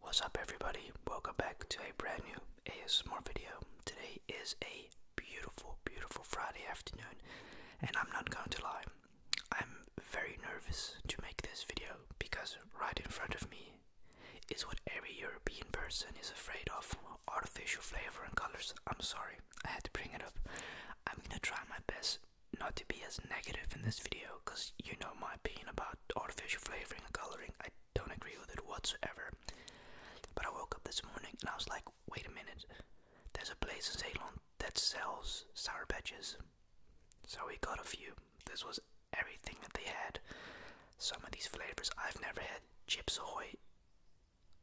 What's up everybody? Welcome back to a brand new ASMR video. Today is a beautiful, beautiful Friday afternoon and I'm not going to lie. I'm very nervous to make this video because right in front of me is what every European person is afraid of. Artificial flavor and colors. I'm sorry, I had to bring it up. I'm gonna try my best not to be as negative in this video because you know my my opinion about artificial flavoring and coloring. I don't agree with it whatsoever. But I woke up this morning and I was like, wait a minute, there's a place in Ceylon that sells sour patches. So we got a few. This was everything that they had. Some of these flavors I've never had. Chips Ahoy.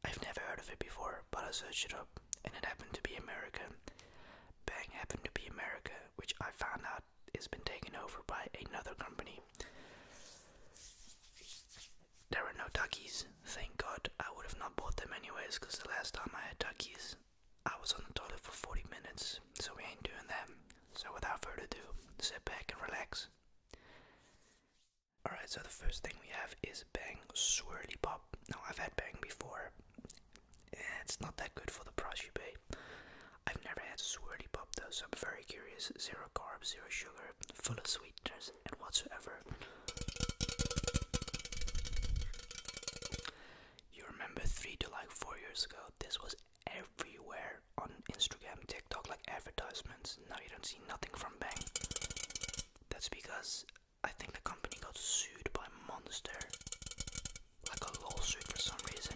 I've never heard of it before, but I searched it up and it happened to be American. Bang happened to be America, which I found out it has been taken over by another company. There are no duckies, thank God. I would have not bought them anyways, because the last time I had duckies, I was on the toilet for 40 minutes, so we ain't doing that. So without further ado, sit back and relax. Alright, so the first thing we have is Bang Swirly Pop. Now, I've had Bang before, it's not that good for the price you pay. I've never had a swirly pop though, so I'm very curious. Zero carbs, zero sugar, full of sweeteners and whatsoever. You remember three to like four years ago, this was everywhere on Instagram, TikTok, like advertisements. Now you don't see nothing from Bang. That's because I think the company got sued by Monster like a lawsuit for some reason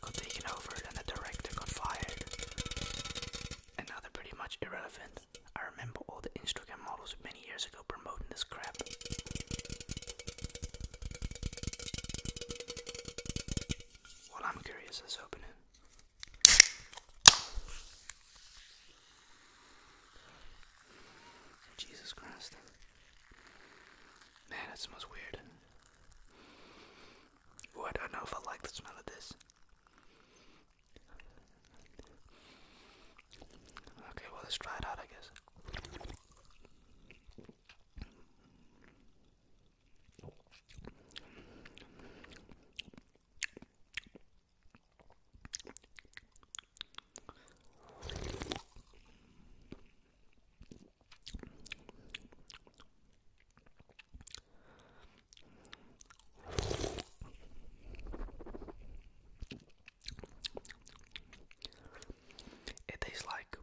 got taken over and the director got fired. And now they're pretty much irrelevant. I remember all the Instagram models many years ago promoting this crap. Well, I'm curious, let's open it. Jesus Christ. Man, that smells weird. Oh, I don't know if I like the smell of this. Okay, well, let's try it out, I guess. It tastes like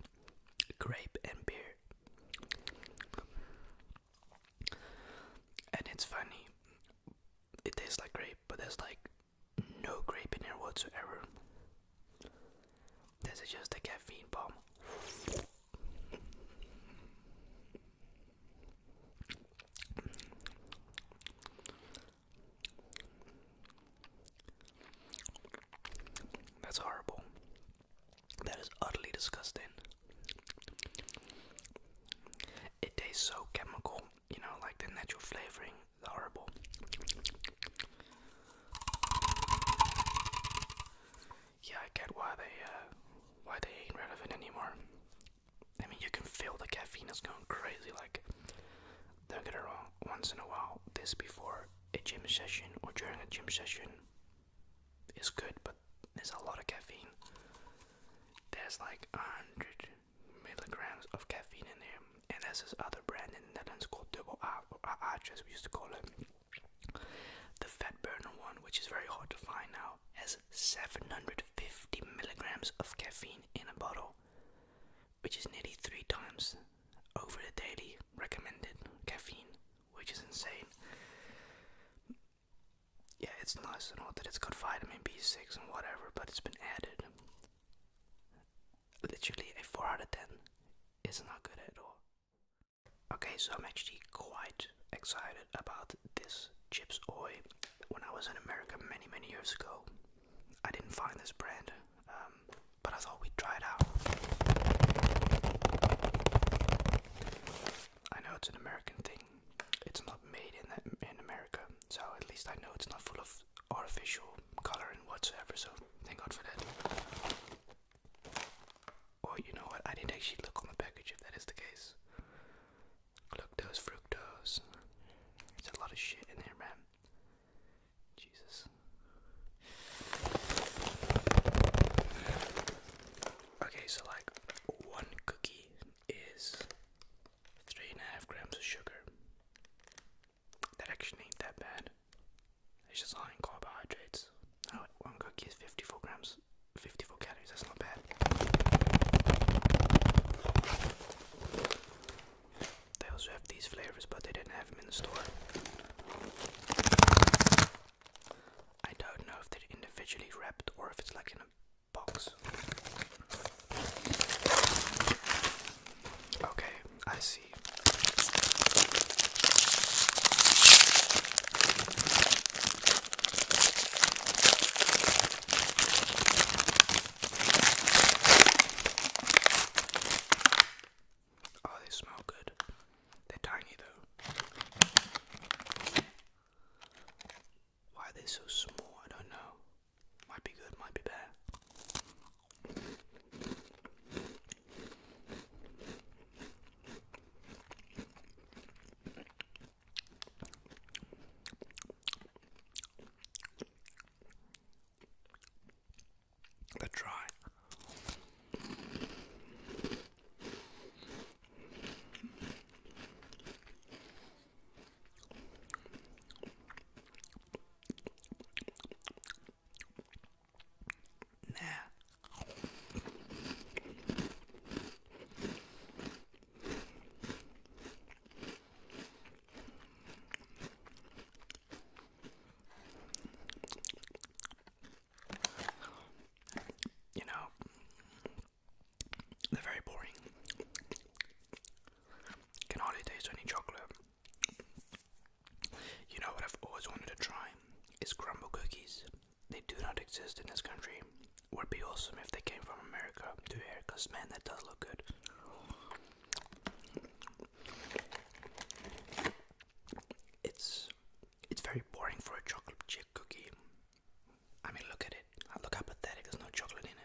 grape and beer. And it's funny. It tastes like grape, but there's like no grape in here whatsoever. This is just a caffeine bomb. That's horrible. That is utterly disgusting. It tastes so chemical you know, like the natural flavoring horrible. Yeah, I get why they uh, why they ain't relevant anymore. I mean, you can feel the caffeine is going crazy. Like, don't get it wrong. Once in a while, this before a gym session or during a gym session is good, but there's a lot of caffeine. There's like a hundred milligrams of caffeine in there. And there's this other brand in the Netherlands called Double R, or RH as we used to call it. The fat burner one, which is very hard to find now, has 750 milligrams of caffeine in a bottle, which is nearly three times over the daily recommended caffeine, which is insane. Yeah, it's nice and all that it's got vitamin B6 and whatever, but it's been added literally a 4 out of 10 is not good at all. Okay, so I'm actually quite excited about this Chips Oi. When I was in America many, many years ago, I didn't find this brand, um, but I thought we'd try it out. I know it's an American thing. It's not made in in America, so at least I know it's not full of artificial color and whatsoever, so thank God for that. Or you know what, I didn't actually look on the package if that is the case. Glucose, fructose, there's a lot of shit in there, man. Jesus. Okay, so like one cookie is three and a half grams of sugar. That actually ain't that bad. It's just high in carbohydrates. Oh, one cookie is 54 grams, 54 calories, that's not bad. They also have these flavors, but they didn't have them in the store. I don't know if they're individually wrapped or if it's like in a box. Okay, I see. Oh, they smell good. They're tiny though. Why are they so small? I don't know. Might be good, might be bad. Let's try. Nah. You know, they're very boring. Can hardly taste any chocolate. You know what I've always wanted to try is crumble cookies. They do not exist in this country. Would be awesome if they came from America to here, cause man, that does look good. It's it's very boring for a chocolate chip cookie. I mean, look at it. Look how pathetic. There's no chocolate in it.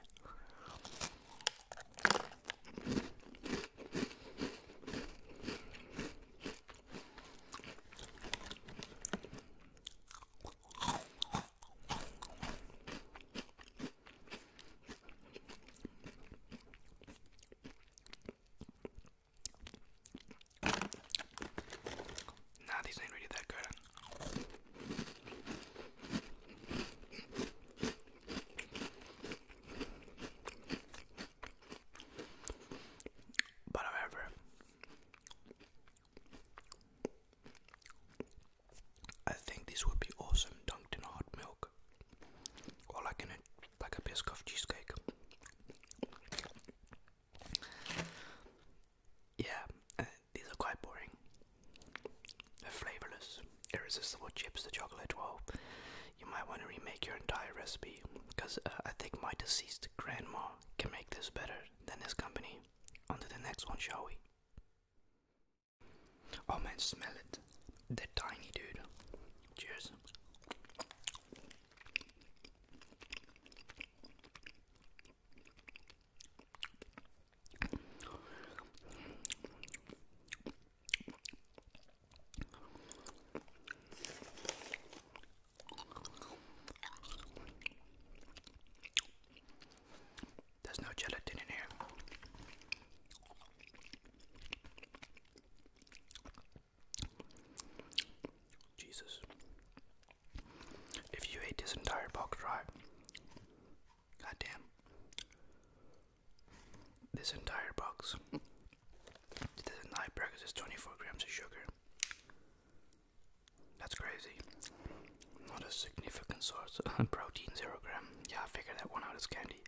Nah, these ain't really that good. But however, I think this would be awesome dunked in hot milk, or like in like a biscuit cheesecake. Yeah, uh, these are quite boring. flavourless, irresistible chips, the chocolate. Well, you might want to remake your entire recipe because uh, I think my deceased grandma can make this better than this company. On to the next one, shall we? Oh man, smell it. they tiny, dude. Cheers. There's no gelatin in here. Jesus. If you ate this entire box dry, goddamn, this entire box, this entire breakfast is 24 grams of sugar. That's crazy. Not a significant source. Protein, 0 gram. Yeah, I figured that one out as candy.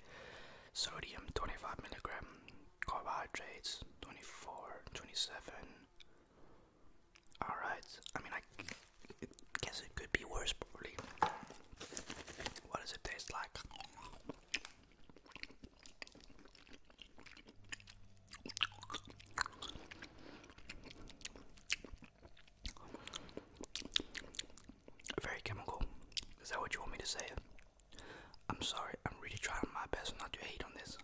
Sodium, 25 milligram. Carbohydrates, 24, 27. Alright, I mean, I guess it could be worse, What does it taste like? Very chemical. Is that what you want me to say? I'm sorry, I'm really trying my best not to hate on this.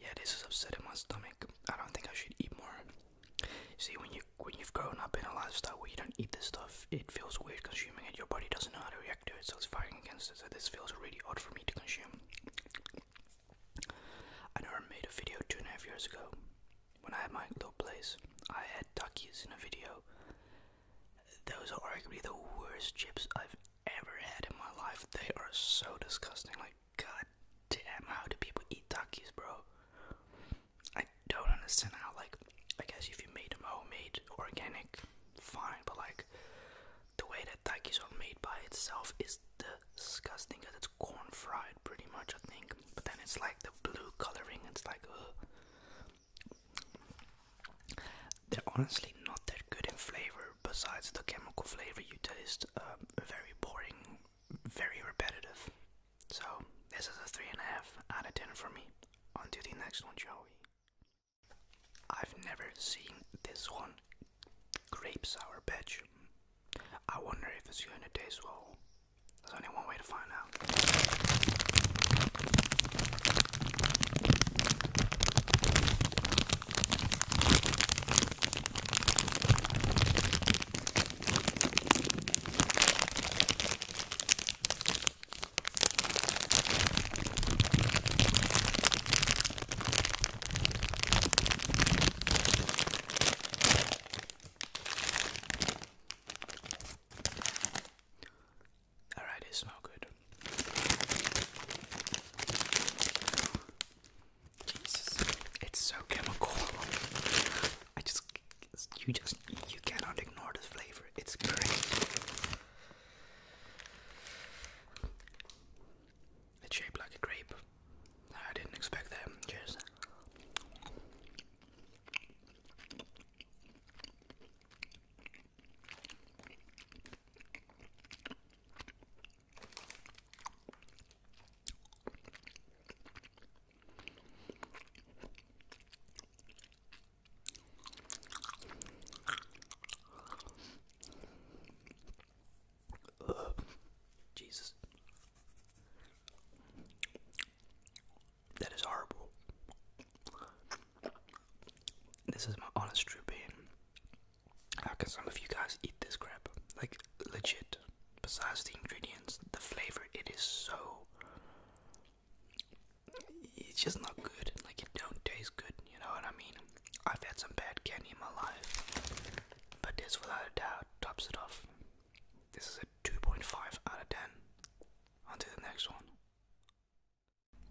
Yeah, this is upsetting my stomach. I don't think I should eat more. See, when you when you've grown up in a lifestyle where you don't eat this stuff, it feels weird consuming it. Your body doesn't know how to react to it, so it's fighting against it. So this feels really odd for me to consume. I never made a video two and a half years ago when I had my little place, I had Takis in a video. Those are arguably the worst chips I've ever had in my life. They are so disgusting. Like, god damn, how do people eat Takis, bro? I don't understand how, like, I guess if you made them homemade, organic, fine, but like, the way that Takis are made by itself is disgusting because it's corn fried pretty much, I think. But then it's like the blue coloring, it's like, ugh. They're honestly not that good in flavor. Besides the chemical flavor you taste, um, very boring, very repetitive. So this is a three and a half out of ten for me. On to the next one, Joey. I've never seen this one grape sour batch. I wonder if it's going to taste well. There's only one way to find out. Alright, it smells good. Jesus, it's so chemical. I just, you just, you cannot ignore this flavor. It's great. It's shaped like a grape. I didn't expect that. Cheers. Jesus. That is horrible. This is my honest true pain. How can some of you guys eat this crap? Like, legit. Besides the ingredients, the flavor, it is so. It's just not good. Like, it don't taste good, you know what I mean? I've had some bad candy in my life. But this, without a doubt, tops it off. This is it. 2.5 out of 10. On to the next one.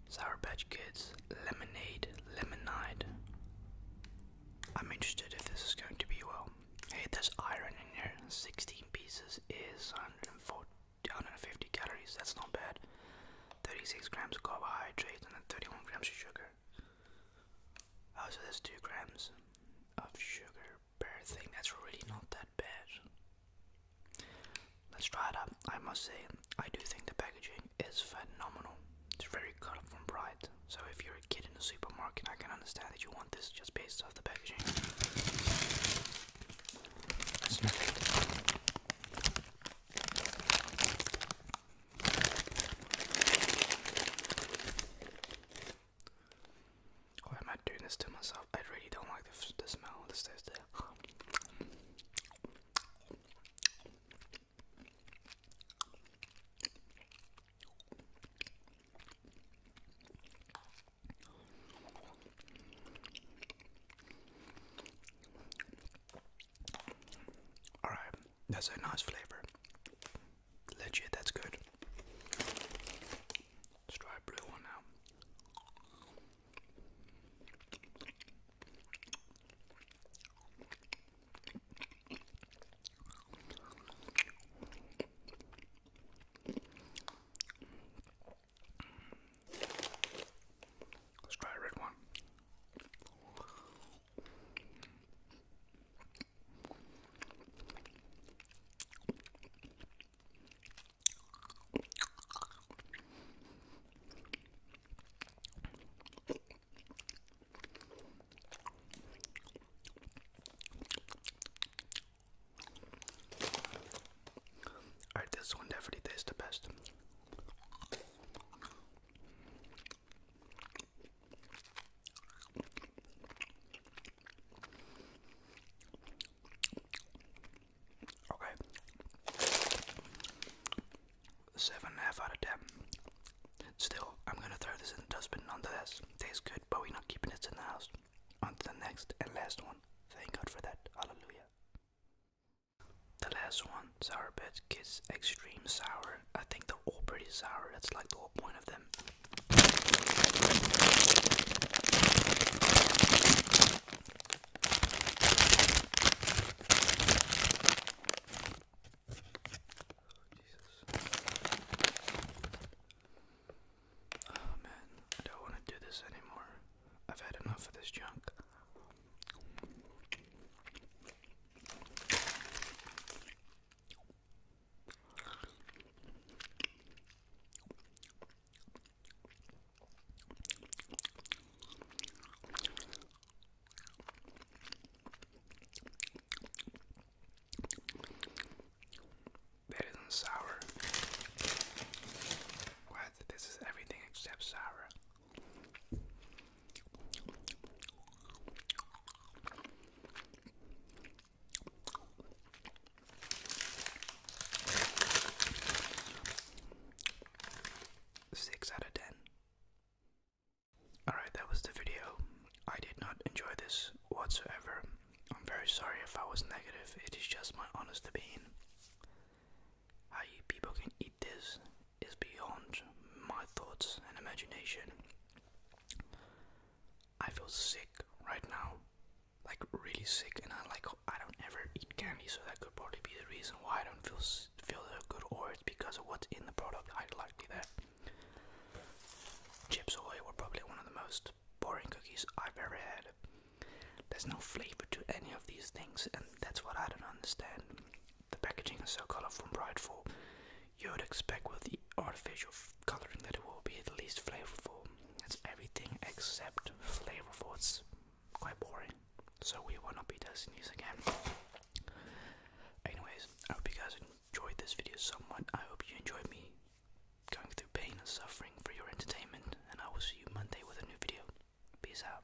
Sour Patch Kids Lemonade Lemonade. I'm interested if this is going to be well. Hey, there's iron in here. 16 pieces is 140, calories. That's not bad. 36 grams of carbohydrates and then 31 grams of sugar. Oh, so there's 2 grams of sugar bird thing that's really not that bad. Let's try it out. I must say, I do think the packaging is phenomenal. It's very colorful and bright. So if you're a kid in the supermarket, I can understand that you want this just based off the packaging. Why am I doing this to myself? I really don't like the, the smell. This taste. All right, that's a nice flavor. Legit, that's good. Let's try a blue one now. Let's try red one. Alright, this one definitely tastes the best. Okay. Seven and a half out of ten. Still, I'm gonna throw this in the dustbin nonetheless. Tastes good, but we're not keeping it in the house. On to the next and last one. Thank God for that. Hallelujah. The last one, Sour Bits Kids Extreme Sour I think they're all pretty sour. That's like the whole point of them. Jesus. Oh man, don't want to do this anymore. I've had enough of this junk. Better than sour. What? This is everything except sour. Six out of ten. Alright, that was the video. I did not enjoy this whatsoever. I'm very sorry if I was negative, it is just my honest opinion. How you people can this is beyond my thoughts and imagination. I feel sick right now, like really sick, and I like I don't ever eat candy, so that could probably be the reason why I don't feel feel so good, or it's because of what's in the product. I'd likely that. Chips Ahoy were probably one of the most boring cookies I've ever had. There's no flavor to any of these things, and that's what I don't understand the packaging is so colorful and brightful, you would expect with the artificial coloring that it will be the least flavorful. It's everything except flavorful. It's quite boring. So we will not be testing these again. Anyways, I hope you guys enjoyed this video somewhat. I hope you enjoyed me going through pain and suffering for your entertainment. And I will see you Monday with a new video. Peace out.